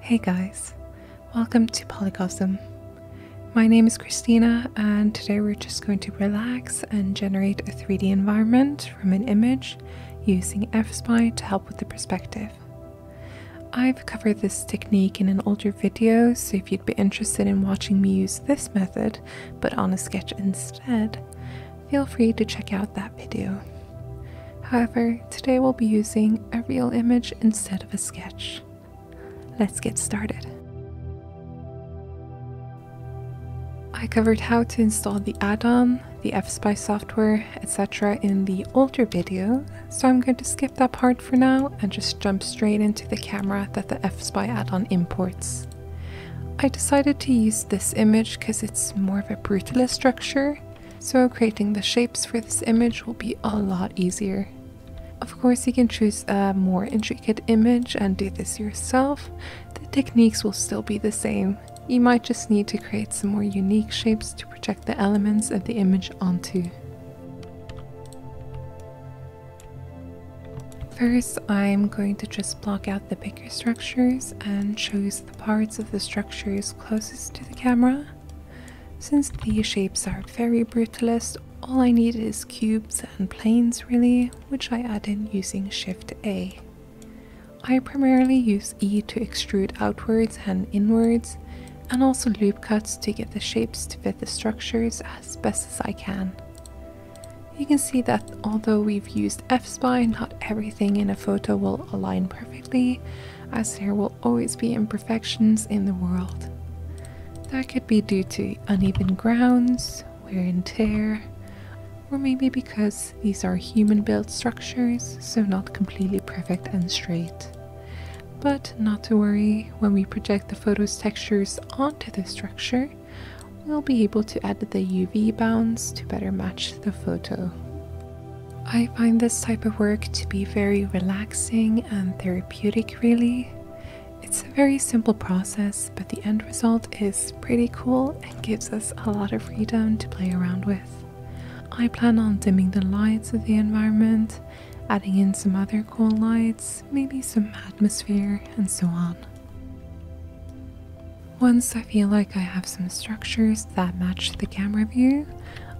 Hey guys, welcome to Polygosm. My name is Christina, and today we're just going to relax and generate a 3D environment from an image using FSpy to help with the perspective. I've covered this technique in an older video, so if you'd be interested in watching me use this method, but on a sketch instead, feel free to check out that video. However, today we'll be using a real image instead of a sketch. Let's get started. I covered how to install the add-on, the FSpy software, etc. in the older video, so I'm going to skip that part for now and just jump straight into the camera that the FSpy add-on imports. I decided to use this image because it's more of a brutalist structure, so creating the shapes for this image will be a lot easier. Of course, you can choose a more intricate image and do this yourself. The techniques will still be the same. You might just need to create some more unique shapes to project the elements of the image onto. First, I'm going to just block out the bigger structures and choose the parts of the structures closest to the camera. Since these shapes are very brutalist, all I need is cubes and planes really, which I add in using Shift A. I primarily use E to extrude outwards and inwards, and also loop cuts to get the shapes to fit the structures as best as I can. You can see that although we've used f-spy, not everything in a photo will align perfectly, as there will always be imperfections in the world. That could be due to uneven grounds, wear and tear, or maybe because these are human built structures, so not completely perfect and straight. But not to worry, when we project the photo's textures onto the structure, we'll be able to add the UV bounds to better match the photo. I find this type of work to be very relaxing and therapeutic, really. It's a very simple process, but the end result is pretty cool and gives us a lot of freedom to play around with. I plan on dimming the lights of the environment, adding in some other cool lights, maybe some atmosphere, and so on. Once I feel like I have some structures that match the camera view,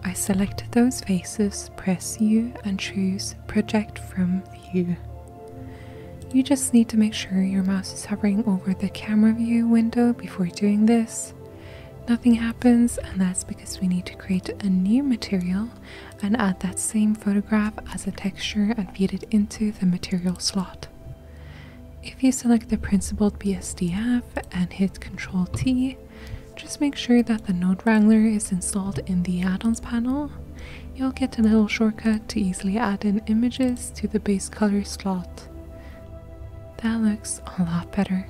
I select those faces, press U, and choose Project from View. You just need to make sure your mouse is hovering over the camera view window before doing this. Nothing happens, and that's because we need to create a new material and add that same photograph as a texture and feed it into the material slot. If you select the principled BSDF and hit Ctrl T, just make sure that the Node Wrangler is installed in the add-ons panel. You'll get a little shortcut to easily add in images to the base color slot. That looks a lot better.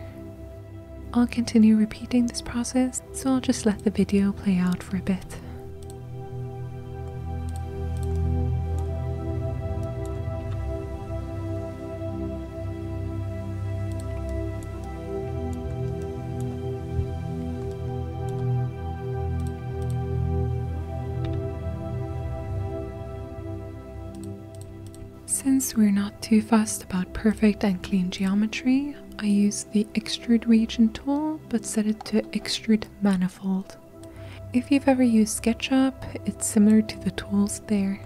I'll continue repeating this process, so I'll just let the video play out for a bit. Since we're not too fussed about perfect and clean geometry, I use the extrude region tool but set it to extrude manifold. If you've ever used SketchUp, it's similar to the tools there.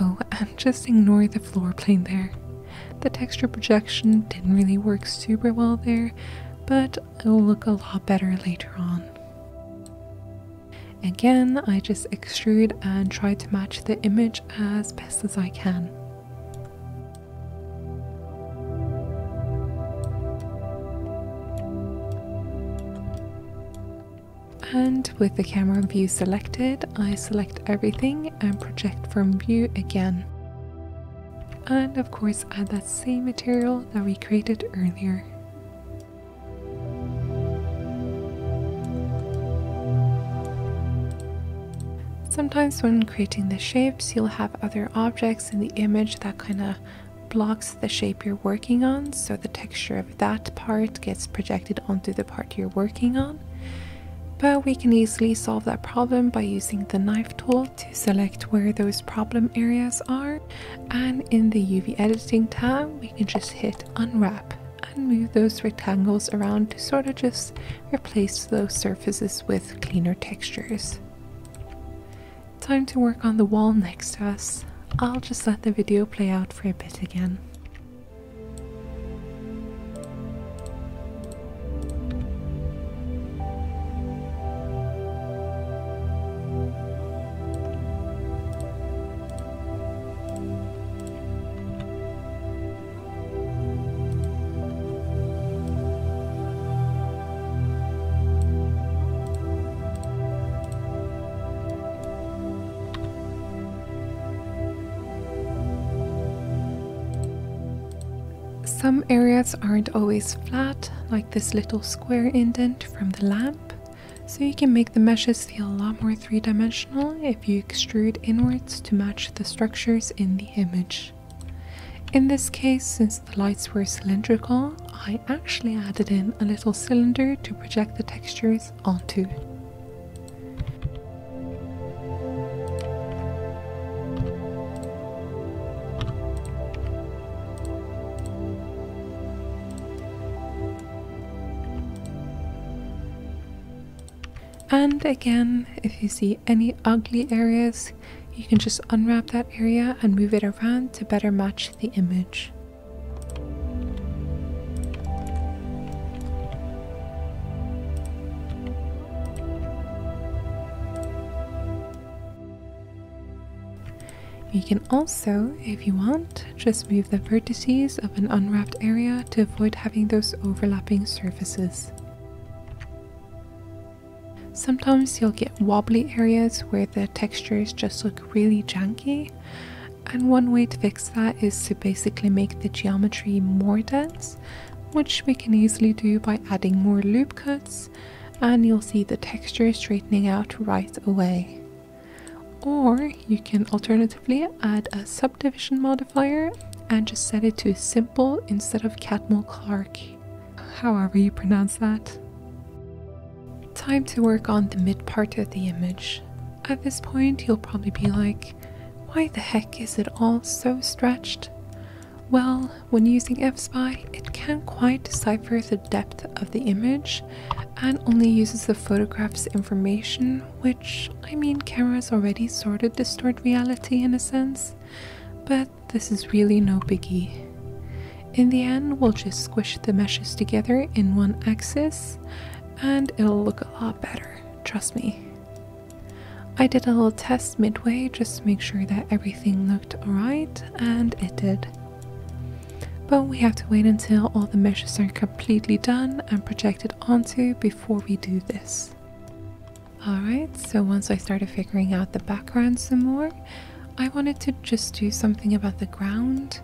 Oh, and just ignore the floor plane there. The texture projection didn't really work super well there, but it'll look a lot better later on. Again, I just extrude and try to match the image as best as I can. And with the camera view selected, I select everything and project from view again. And of course add that same material that we created earlier. Sometimes when creating the shapes, you'll have other objects in the image that kind of blocks the shape you're working on, so the texture of that part gets projected onto the part you're working on. But we can easily solve that problem by using the knife tool to select where those problem areas are, and in the UV editing tab, we can just hit unwrap and move those rectangles around to sort of just Replace those surfaces with cleaner textures. Time to work on the wall next to us. I'll just let the video play out for a bit again. Some areas aren't always flat, like this little square indent from the lamp, so you can make the meshes feel a lot more three-dimensional if you extrude inwards to match the structures in the image. In this case, since the lights were cylindrical, I actually added in a little cylinder to project the textures onto. And again, if you see any ugly areas, you can just unwrap that area and move it around to better match the image. You can also, if you want, just move the vertices of an unwrapped area to avoid having those overlapping surfaces. Sometimes you'll get wobbly areas where the textures just look really janky, and one way to fix that is to basically make the geometry more dense, which we can easily do by adding more loop cuts, and you'll see the texture straightening out right away. Or you can alternatively add a subdivision modifier and just set it to simple instead of Catmull Clark, however you pronounce that. Time to work on the mid part of the image. At this point, you'll probably be like, why the heck is it all so stretched? Well, when using fspy, it can't quite decipher the depth of the image and only uses the photograph's information, which, I mean, cameras already sort of distort reality in a sense, but this is really no biggie. In the end, we'll just squish the meshes together in one axis and it'll look a lot better, trust me. I did a little test midway just to make sure that everything looked alright, and it did. But we have to wait until all the meshes are completely done and projected onto before we do this. Alright, so once I started figuring out the background some more, I wanted to just do something about the ground.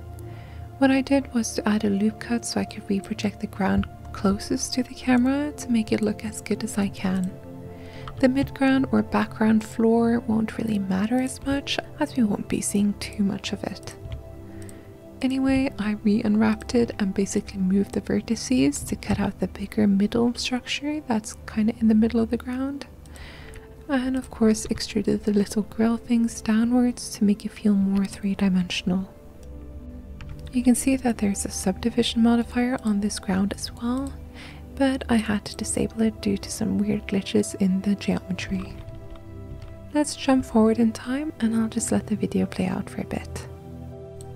What I did was to add a loop cut so I could reproject the ground closest to the camera to make it look as good as I can. The midground or background floor won't really matter as much as we won't be seeing too much of it. Anyway, I re-unwrapped it and basically can move the vertices to cut out the bigger middle structure that's kind of in the middle of the ground. And of course, extrude the little grill things downwards to make it feel more three dimensional. You can see that there's a subdivision modifier on this ground as well, but I had to disable it due to some weird glitches in the geometry. Let's jump forward in time and I'll just let the video play out for a bit.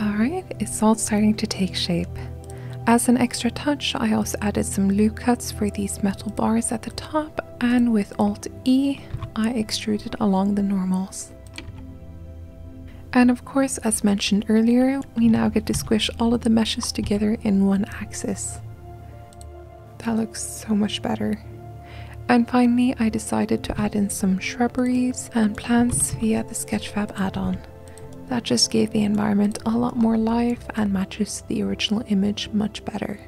Alright, it's all starting to take shape. As an extra touch, I also added some loop cuts for these metal bars at the top, and with Alt E, I extruded along the normals. And of course, as mentioned earlier, we now get to squish all of the meshes together in one axis. That looks so much better. And finally, I decided to add in some shrubberies and plants via the Sketchfab add-on. That just gave the environment a lot more life and matches the original image much better.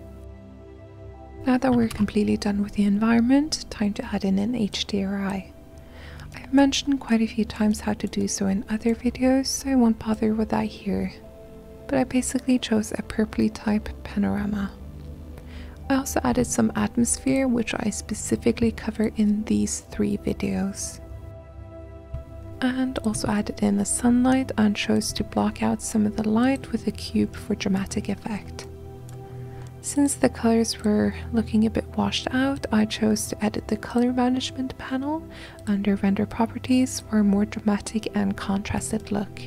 Now that we're completely done with the environment, time to add in an HDRI. I've mentioned quite a few times how to do so in other videos, so I won't bother with that here. But I basically chose a purpley type panorama. I also added some atmosphere, which I specifically cover in these three videos. And also added in the sunlight and chose to block out some of the light with a cube for dramatic effect. Since the colors were looking a bit washed out, I chose to edit the color management panel under render properties for a more dramatic and contrasted look.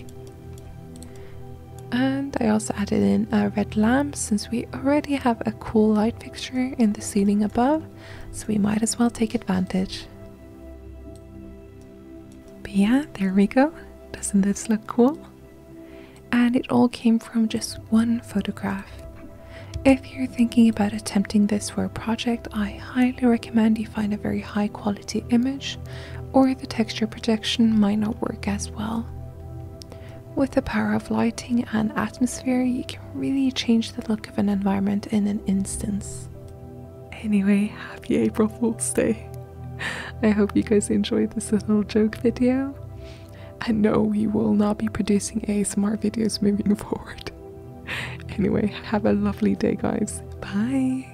And I also added in a red lamp since we already have a cool light fixture in the ceiling above, so we might as well take advantage. But yeah, there we go. Doesn't this look cool? And it all came from just one photograph. If you're thinking about attempting this for a project, I highly recommend you find a very high quality image or the texture projection might not work as well. With the power of lighting and atmosphere, you can really change the look of an environment in an instance. Anyway, happy April Fool's Day. I hope you guys enjoyed this little joke video. I know we will not be producing ASMR videos moving forward. anyway, have a lovely day, guys. Bye.